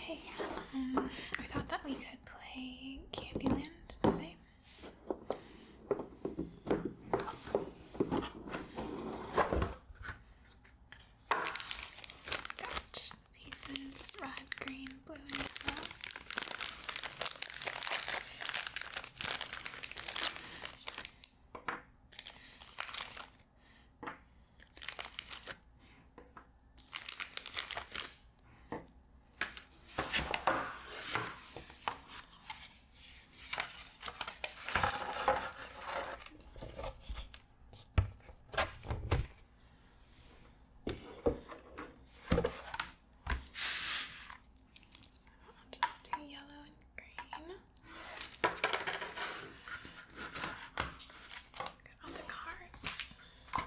Hey, I thought that we could play Candyland today. Got pieces red, green, blue, yellow. So I'll just do yellow and green on the cards. Rules.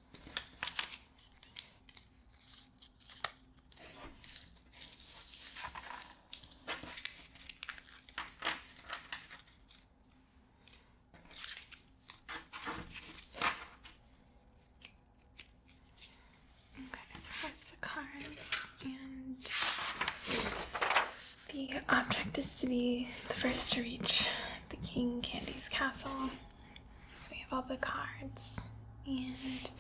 Okay, so that's the cards, and the object is to be the first to reach the King Candy's castle so we have all the cards, and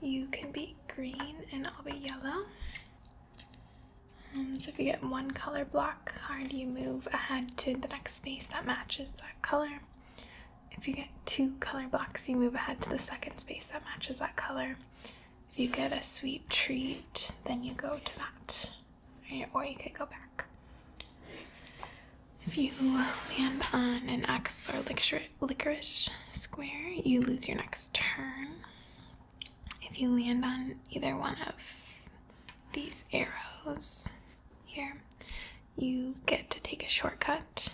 you can be green and I'll be yellow. Um, so if you get one color block card, you move ahead to the next space that matches that color. If you get two color blocks, you move ahead to the second space that matches that color. If you get a sweet treat, then you go to that, or you could go back. If you land on an X or licorice square, you lose your next turn. If you land on either one of these arrows here, you get to take a shortcut.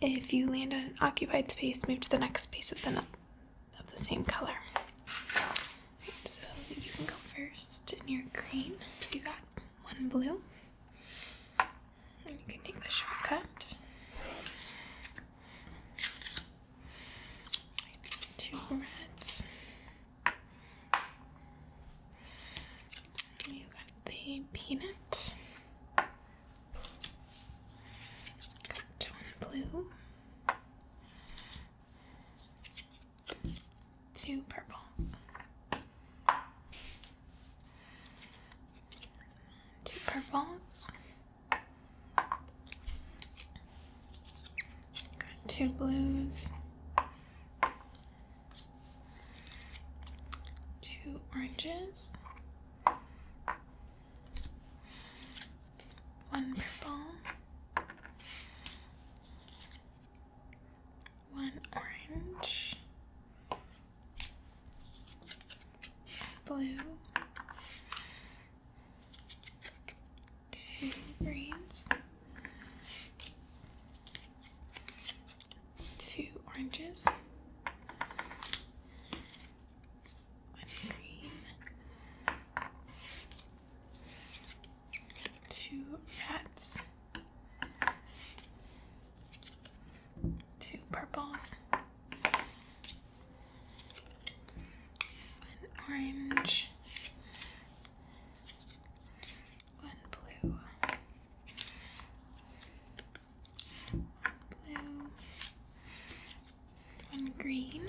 If you land on an occupied space, move to the next space of the, of the same color. so you can go first in your green, because you got one blue. You can take the shortcut. Two reds. You got the peanut. Got blue two purples. Two purples. Got two blues. Two oranges. One purple one orange, blue, two greens, two oranges, one green, two rats, two purples, one orange, one blue, one blue, one green,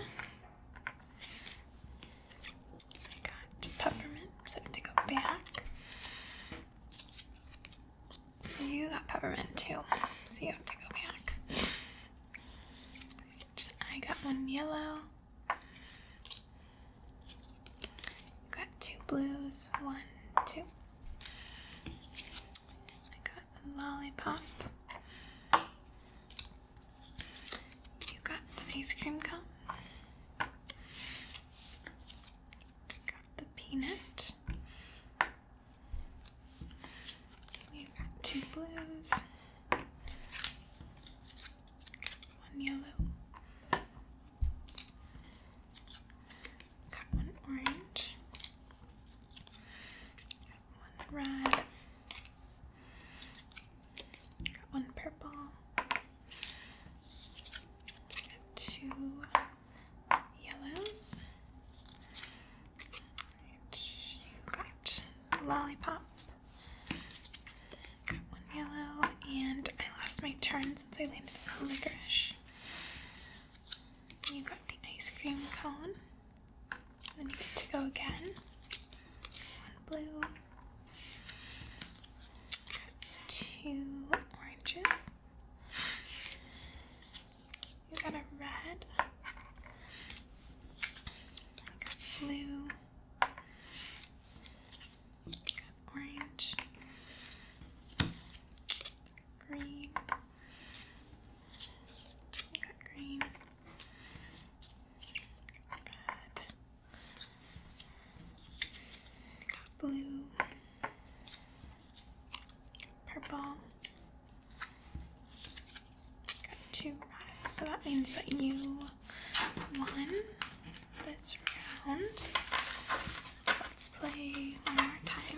I got peppermint, have to go back. You got peppermint too, so you have to go back. I got one yellow. Got two blues, one, two. I got a lollipop. You got an ice cream cone. Got the peanut. We've got two blues, one yellow, got one orange, got one red, got one purple, two yellows. you got lollipop. one yellow, and I lost my turn since I landed on licorice. You got the ice cream cone. Then you get to go again. One blue two oranges. You got a red, blue, orange, green, green, red blue, purple. Got two so that means that you won this round. Let's play one more time.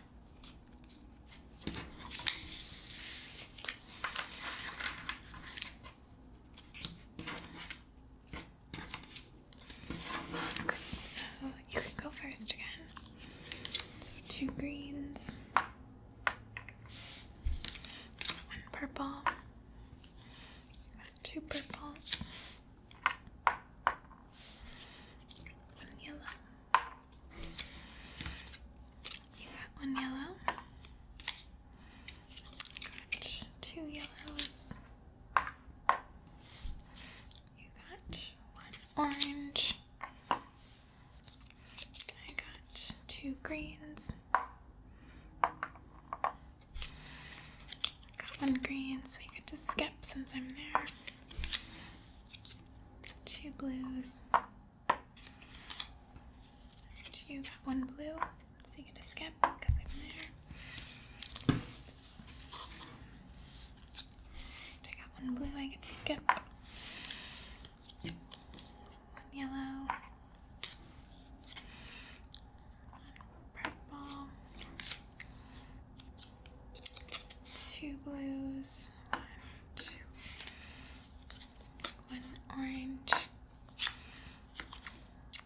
so you can go first again. two greens, one purple, two purples. One yellow. You got one yellow. Got two yellows. You got one orange. I got two greens. Got one green, so you get just skip since I'm there. Two blues. And you got one blue, so you get a skip because I'm there. I got one blue, I get to skip. One yellow. One purple two blues, one orange.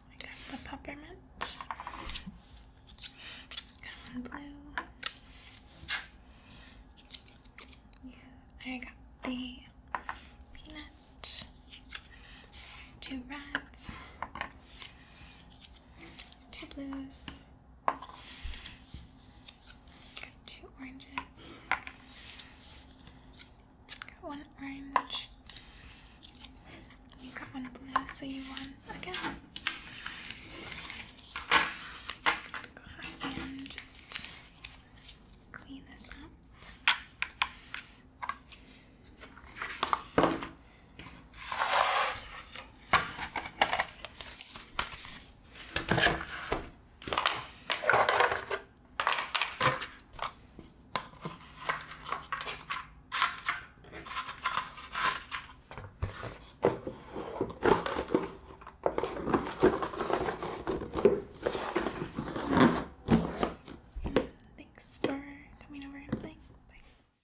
I got the peppermint. one blue. I got the peanut. Two reds. Two blues two oranges. one orange. You got one blue, so you won again. Go ahead and just clean this up. Thanks for coming over and playing. Bye.